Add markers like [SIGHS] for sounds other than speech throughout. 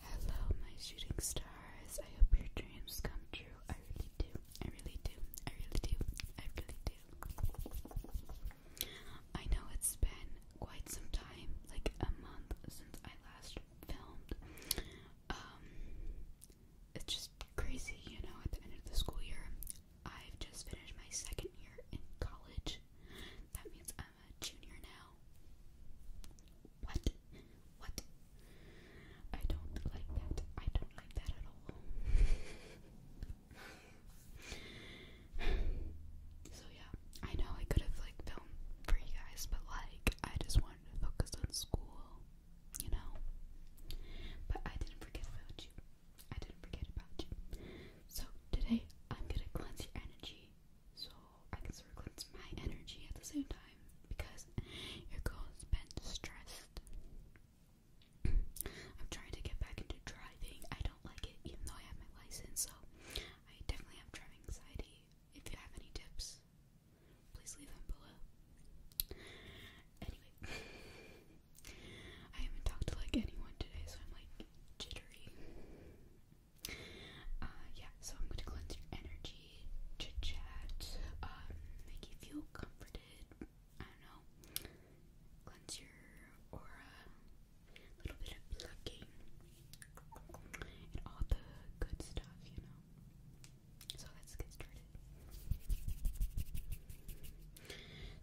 Hello, my shooting stars. I hope your dreams come true. I really do. I really do. I really do. I really do. I know it's been quite some time, like a month since I last filmed. Um, it's just crazy, you know, at the end of the school year. I've just finished my second year in college. That means I'm uh, a junior now. What? What? I don't like that. I don't like that at all. [SIGHS] so yeah, I know I could have like filmed for you guys, but like I just wanted to focus on school, you know. But I didn't forget about you. I didn't forget about you. So today I'm gonna cleanse your energy so I can sort my energy at the same time because your goal has been stressed. [CLEARS THROAT] I'm trying to get back into driving. I don't like it, even though I have my license, so I definitely have driving anxiety. If you have any tips, please leave them below. Anyway, [LAUGHS] I haven't talked to like anyone today, so I'm like jittery. Uh, yeah, so I'm going to cleanse your energy, chit chat, um, make you feel comforted. I don't know, cleanse your aura, a little bit of plucking, and all the good stuff, you know. So let's get started.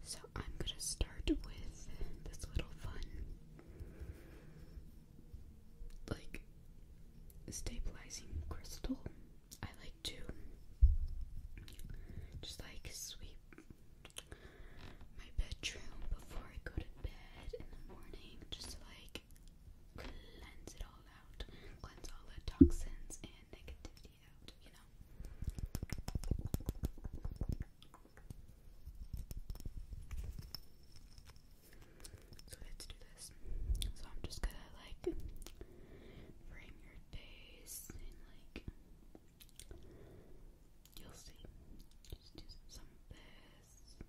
So I'm gonna start with this little fun like stabilizing crystal. I like to just like sweep my bedroom before I go to bed in the morning just to like cleanse it all out, cleanse all the toxins and negativity out, you know. So let's do this. So I'm just gonna like frame your face and like you'll see. Just do some of this.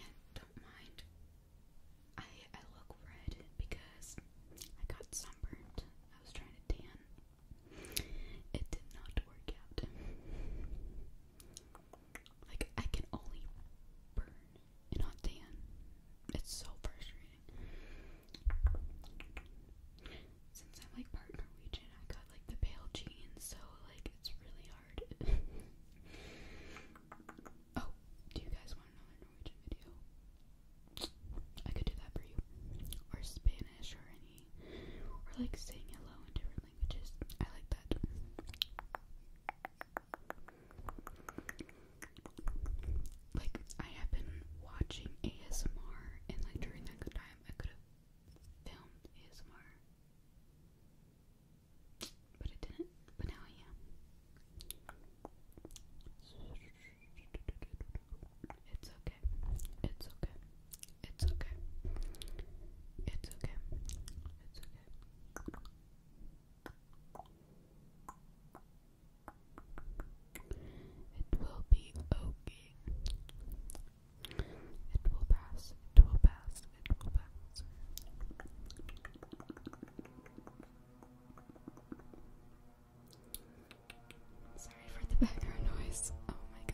And don't mind I I look red because I got sunburned. I was trying to tan. It did not work out. Like, I can only burn and not tan. It's so frustrating. Since I'm like part Norwegian, I got like the pale jeans, so like it's really hard. [LAUGHS] oh, do you guys want another Norwegian video? I could do that for you. Or Spanish or any or like saying hello in different I like that. Like I have been watching ASMR and like during that time I could have filmed ASMR. But I didn't, but now I It's okay. It's okay. It's okay. It's okay. It's okay. It will be okay. It will pass. It will pass. It will pass. Sorry for the background noise. Oh my god.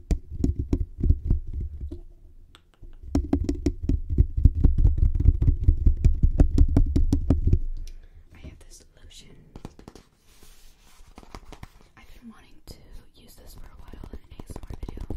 I have this lotion. I've been wanting to use this for a while in an ASMR video.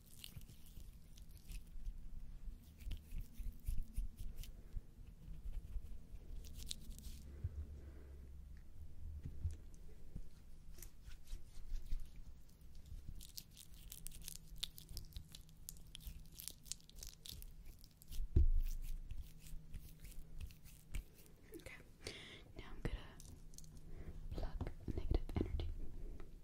Okay, now I'm gonna plug negative energy.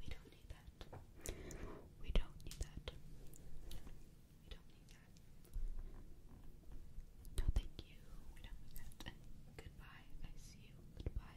We don't need that. We don't need that. We don't need that. No, thank you. We don't need that. Goodbye. I see you. Goodbye.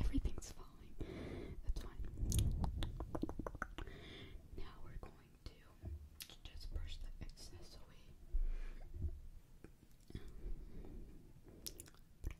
Everything's falling. That's fine. Now we're going to just brush the excess away.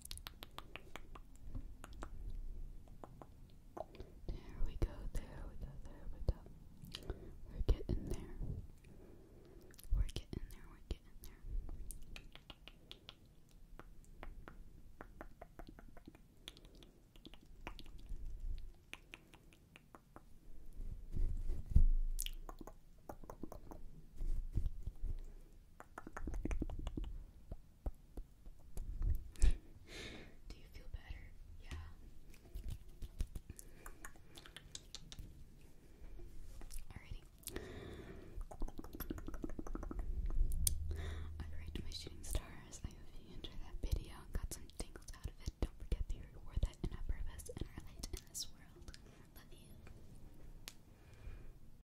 There we go, there we go, there we go. We're getting there. We're getting there, we're getting there. Do you feel better? Yeah. Alrighty. Alright, my shooting stars. I hope you enjoyed that video got some tingles out of it. Don't forget that you're worth it and a in this world. Love you.